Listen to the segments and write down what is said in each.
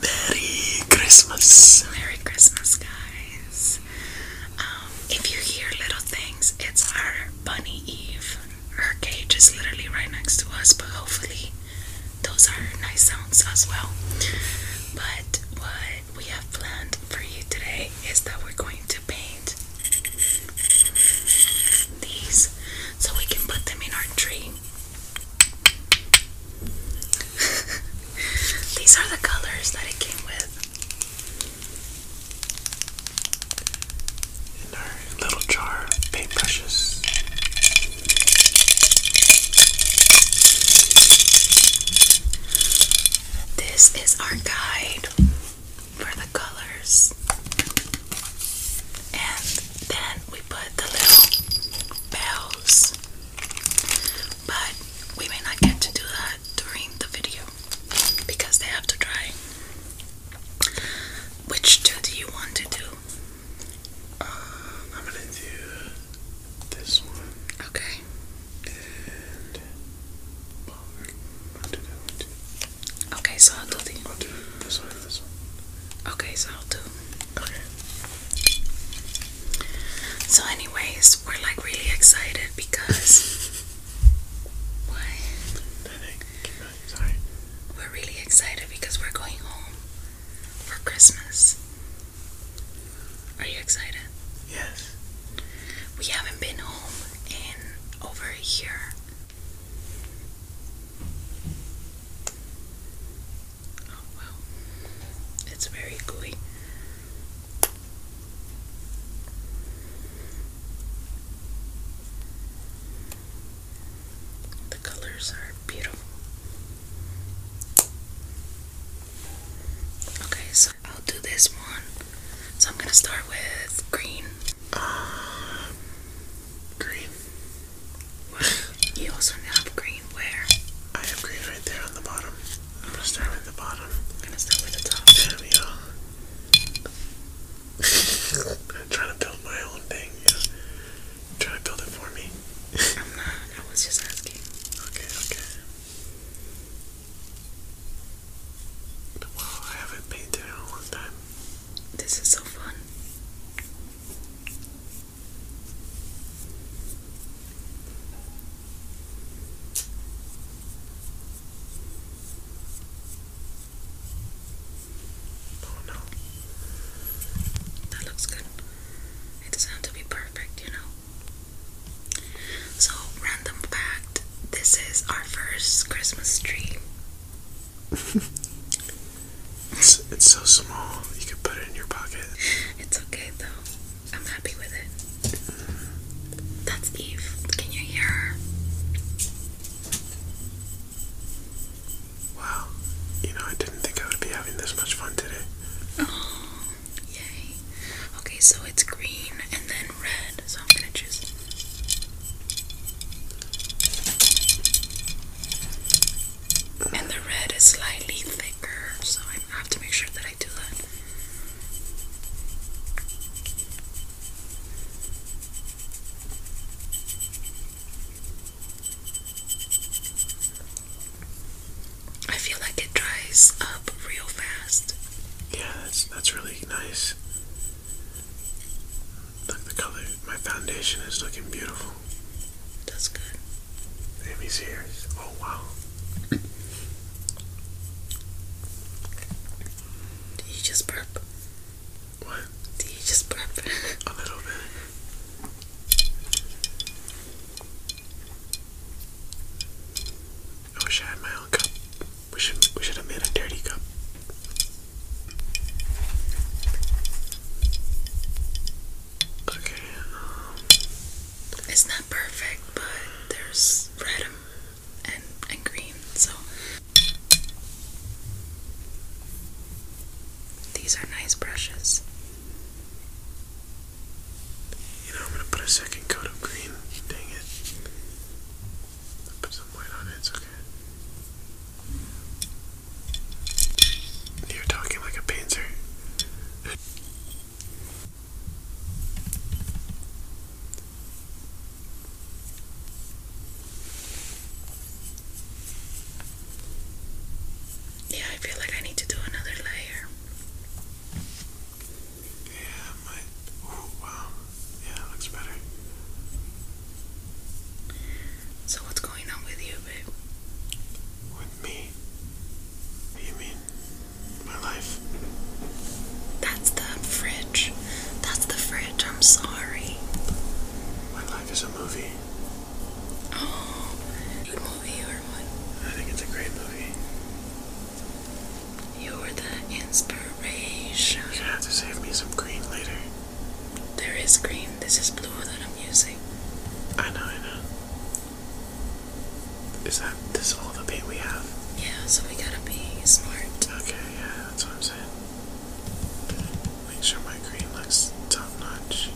Merry Christmas! Merry Christmas, guys. Um, if you hear little things, it's our bunny Eve. Her cage is literally right next to us, but hopefully, those are nice sounds as well. But what we have planned for you today is that we're going to paint these so we can put them in our tree. These are the colors that it came with. In our little jar paintbrushes. This is our guide for the colors. And then we put the little bells but we may not get to do that during the video because they have to dry. Which two do you want to do? Um, I'm gonna do this one. Okay. And I'll do that one too. Okay, so I'll do the. I'll do this one. This one. Okay, so I'll do so, anyways, we're like really excited because. Why? We're really excited because we're going home for Christmas. Are you excited? Yes. We haven't been home in over a year. Oh wow, it's very gooey. The colors are beautiful. Okay, so I'll do this one. So I'm gonna start with green. Uh, green. You also have green where? I have green right there on the bottom. I'm gonna start with the bottom. I'm gonna start with the top. There we go. I'm trying to build my own thing. trying to build it for me. I'm not. I was just asking. Okay, okay. Wow, I haven't painted in a long time. This is so fun. Oh no. That looks good. It doesn't have to be perfect, you know. So, random fact this is our first Christmas tree. It's, so small. You could put it in your pocket. It's okay though. I'm happy with it. That's Eve. Can you hear her? Wow. You know, I didn't think I would be having this much fun today. Oh, yay. Okay, so it's green and then red, so I'm gonna choose and the red is slightly thicker, so I have to make sure that I do that. I feel like it dries up real fast. Yeah, that's that's really nice. the color. My foundation is looking beautiful. Wow. That's good. Amy's here. Oh, wow. Did you just burp? What? Did you just burp? A little bit. I wish I had my own cup. We should we should have made a dirty cup. Um, it's not perfect, but there's red and and green, so these are nice brushes. You know, I'm gonna put a second coat of green. Dang it. put some white on it, it's okay. You're talking like a painter. Yeah, I feel like I need to do another layer. Yeah, my. Ooh, wow. Yeah, it looks better. So, what's going on with you, babe? Me? You mean my life? That's the fridge. That's the fridge. I'm sorry. My life is a movie. Oh, good movie or what? I think it's a great movie. You are the inspiration. You're gonna have to save me some green later. There is green. This is blue that I'm using. I know, I know. Is that this all the paint we have? Yeah, so we gotta be smart. Okay, yeah, that's what I'm saying. Make sure my green looks top notch.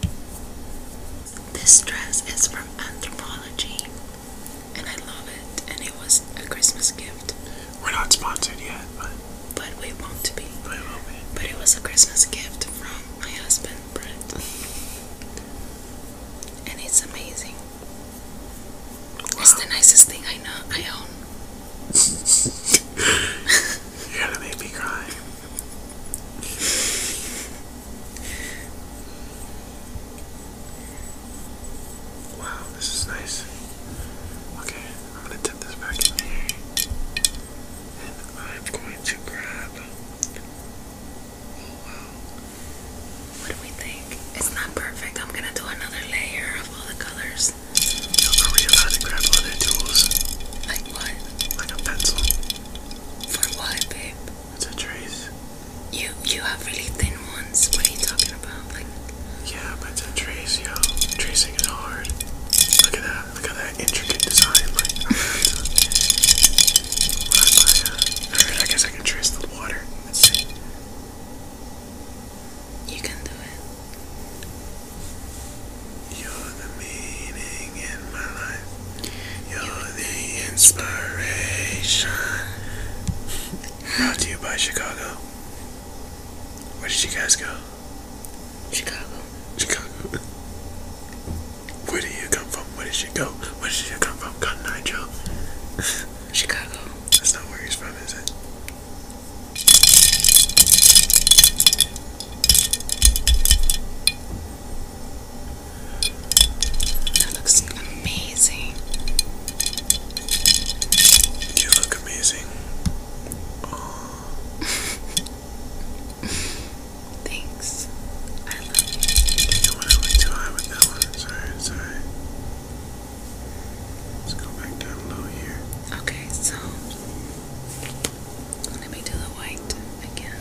This dress is from Anthropology, and I love it. And it was a Christmas gift. We're not sponsored yet, but but we won't be. But it be. But it was a Christmas gift from my husband and it's amazing. It's the nicest thing I know I own. You're gonna make me cry. Wow, this is nice. Okay, I'm gonna tip this back in here. And I'm going to grab what do we think? It's not perfect. I'm gonna do another layer of all the colors. You know, are to grab other tools? Like what? Like a pencil. For what, babe? It's trace. You you have really thin ones. What are you talking about? Like. Yeah, but it's trace, yo. Tracing is hard. Look at that. Look at that intricate design. Like, I, guess I can trace the water. You can do it. You're the meaning in my life. You're the inspiration. Brought to you by Chicago. Where did you guys go? Chicago. Chicago. Where did you come from? Where did she go? Where did she come from? Gun Nigel. Chicago. That's not where he's from, is it? That looks amazing. You look amazing. Oh. Thanks. I I went, too high with that one. It's alright, Let's go back down low here. Okay, so let me do the white again.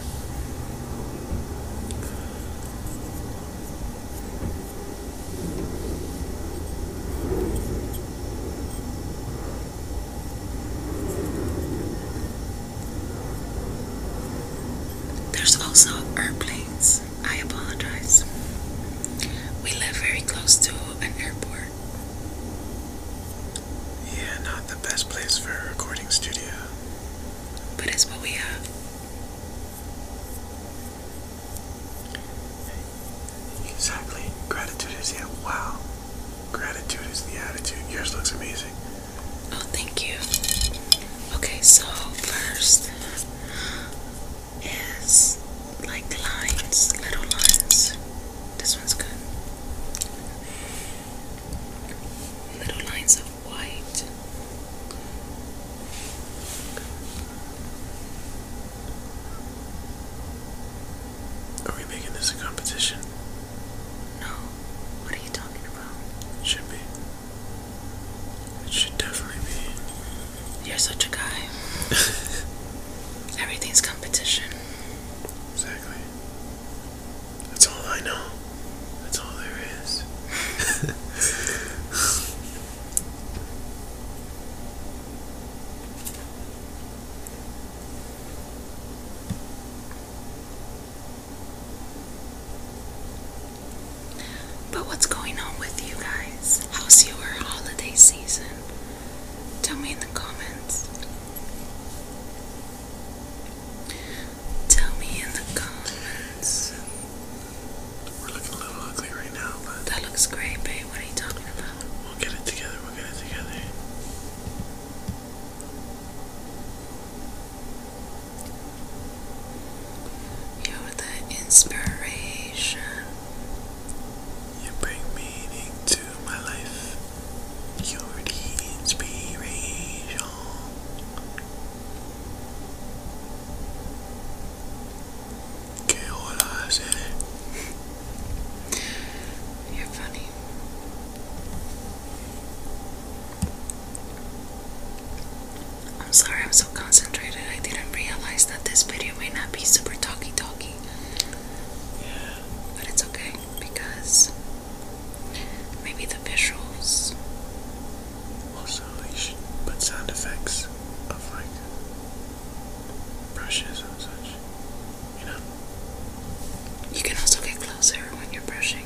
There's also airplanes. I apologize. We live very close to an airport. Yeah, not the best place for a recording studio. But it's what we have. Exactly. Gratitude is, yeah, wow. Gratitude is the attitude. Yours looks amazing. Oh, thank you. Okay, so first is like lines, little lines. This one's good. Little lines of white. Are we making this a competition? No. What are you talking about? Should be. It should definitely be. You're such a guy. Everything's competition. Exactly. That's all I know. That's all there is. But what's going on with you guys? How's your holiday season? Tell me in the comments. Tell me in the comments. We're looking a little ugly right now, but. That looks great, babe. What are you talking about? We'll get it together. We'll get it together. You're the inspiration. You bring meaning to my life. You're the inspiration. ¿Qué hora hace? You're funny. I'm sorry, I'm so concentrated. I didn't realize that this video may not be super talky talky. Yeah. But it's okay because maybe the visuals. Also, you should put sound effects of like brushes and such. You know? You can also get closer when you're brushing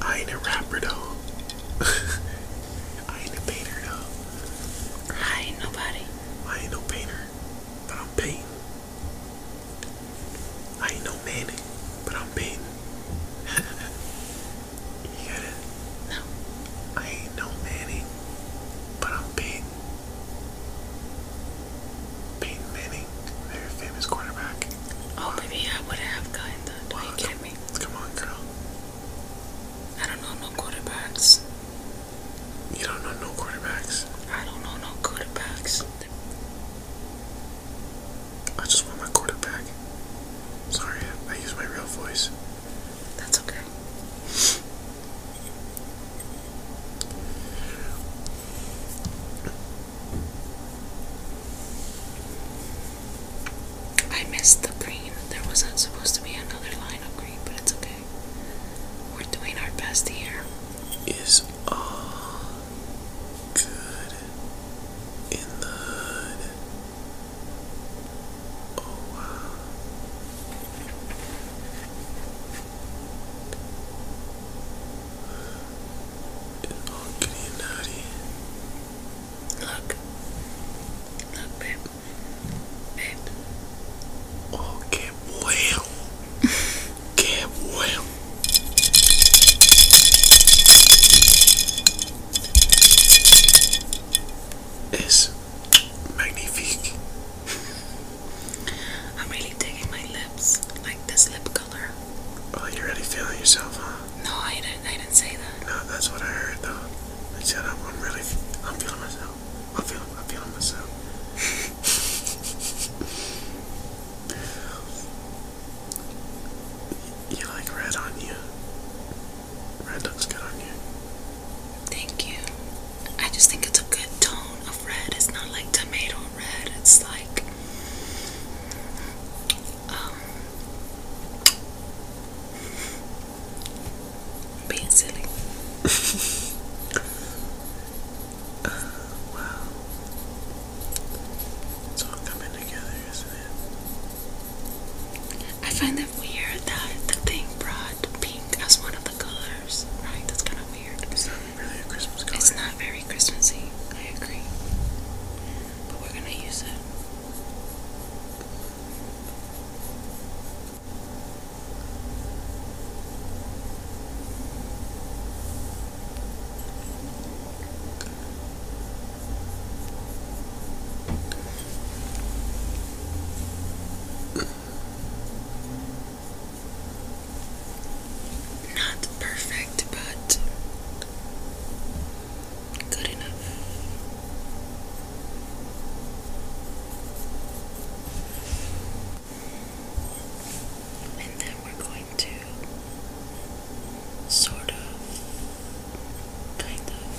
I ain't a rapper though. I ain't a painter though. I ain't nobody. I ain't no painter, but I'm painting. I ain't no man, but I'm painting. you get it? No. I ain't no Manny, but I'm painting. Peyton Manning, very famous quarterback. Oh, maybe I would have gotten that. Are you kidding me? Come on, girl. I don't know no quarterbacks. You don't know no quarterbacks? I don't know no quarterbacks. I just want my quarterback. Sorry, I, I use my real voice. That's okay. I missed the green. There wasn't supposed to be another line of green, but it's okay. We're doing our best here. Is all good in the hood? Oh wow. It's all giddy naughty. Look. Look, babe. Babe. Oh, get well. get well. It's magnifique. I'm really digging my lip like this lip color. Oh, you're already feeling yourself, huh? No, I didn't. I didn't say that. No, that's what I heard though. I said I'm, I'm really, I'm feeling myself. I'm feeling, I'm feeling myself. you like red on you. Red looks good on you. Thank you. I just think it's a good tone, red. It's not like tomato red. It's like um, being silly. Uh, wow. It's all coming together, isn't it? I find it weird that the thing brought pink as one of the colors. Right? That's kind of weird. It's not very Christmassy, I agree. But we're gonna use it. Not perfect, but good enough. And then we're going to sort of, kind of.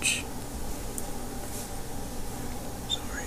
Ouch. Sorry.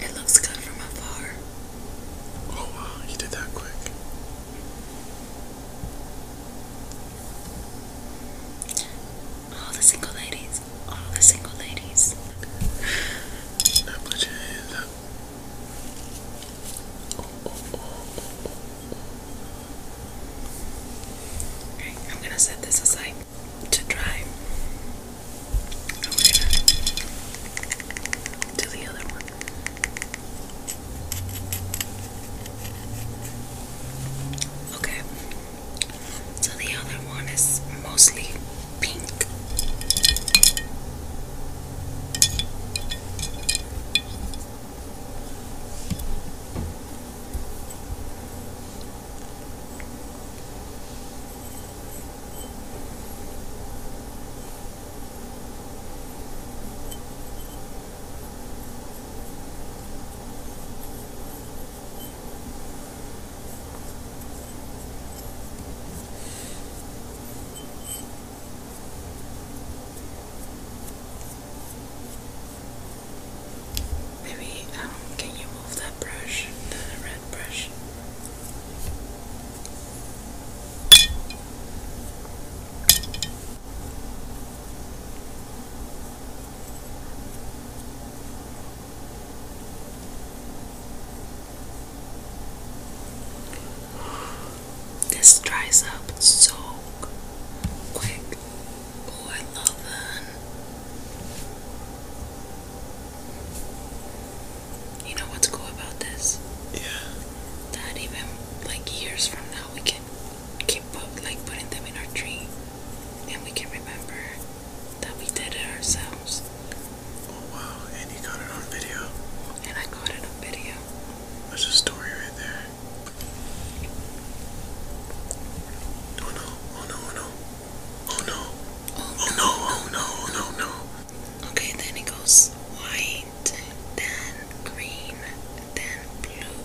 It looks good from afar. Oh wow, you did that quick. All the single ladies. All the single ladies. Now put your hands up. Okay, I'm gonna set this aside to dry. to the other one. Okay, so the other one is mostly pink. Maybe, um, can you move that brush, the red brush? This dries up so quick. Oh, I love them. You know what's cool about this? Yeah. That even like years from now, we can keep put, like putting them in our tree, and we can remember that we did it ourselves. Oh wow, and you got it on video. And I got it on video. That's a story right there. oh no, oh no. Oh no. Oh no, oh, oh no, oh no, oh, no. Okay, then it goes white, then green, then blue,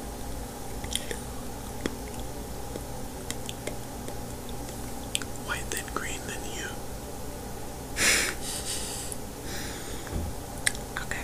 White, then green, then you. okay.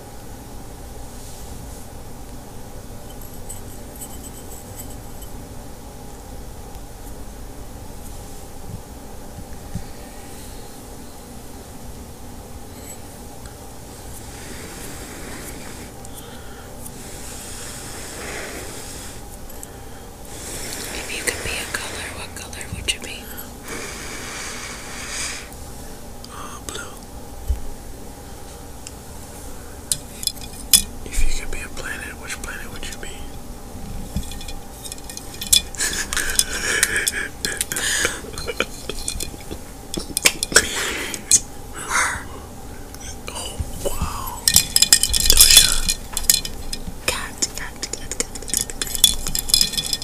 If you could be a color, what color would you be? uh, blue. If you could be a planet, which planet would you be? oh wow. Oh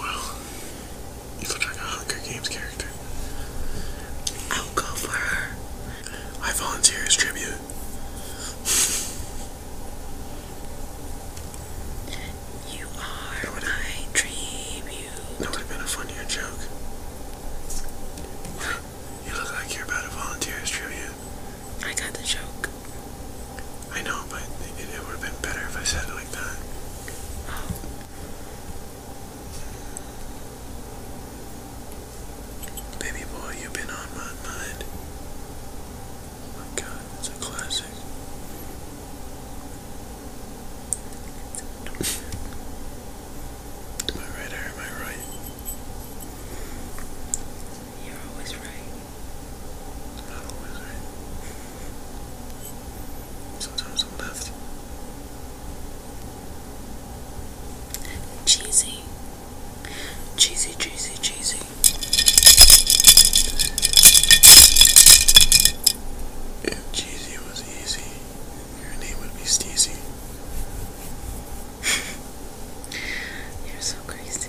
wow. You look like a Hunger Games character. I'll go for her. I volunteer as tribute. You are that what I dream you. That would have been a funnier joke. you look like you're about to volunteer as tribute. I got the joke. I know, but it, would have been better if I said it like that. Oh. Baby boy, you've been on my mind my god, it's a classic. am I right am I right? You're always right. not always right. Sometimes I'm left. Cheesy. Cheesy, cheesy, cheesy. If Jeezy was easy, your name would be Steezy. You're so crazy.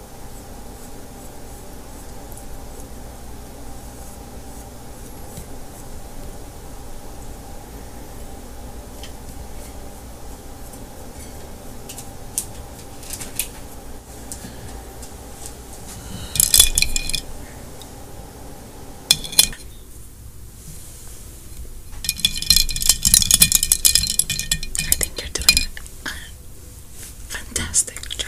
I think you're doing a fantastic job.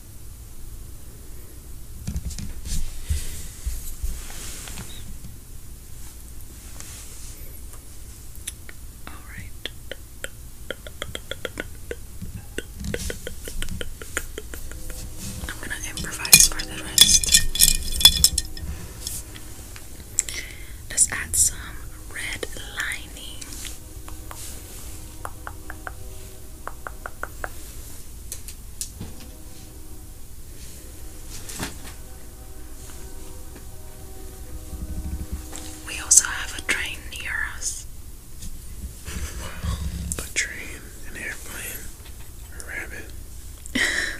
All right. I'm gonna improvise for the rest. Let's add some red lining. We also have a train near us. a train, an airplane, a rabbit.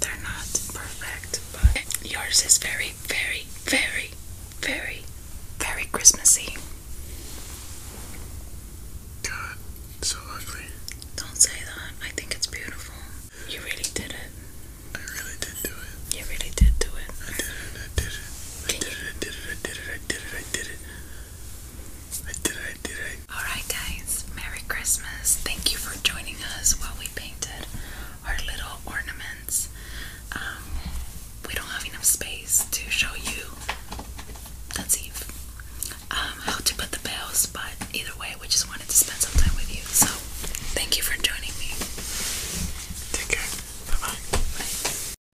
They're not perfect, but yours is very, very, very, very, very Christmassy. God, so ugly. Don't say that. I think it's beautiful. You really did it. I really did do it. You really did do it. I did it. I did it. I did it. I did it. I did it. I did it. Alright, guys, Merry Christmas. Thank you for joining us while we painted our little ornaments. Um, we don't have enough space to show you, that's Eve, um, how to put the bells, but either way, we just wanted to spend some time with you. So, thank you for joining me. Take care. Bye bye. Bye.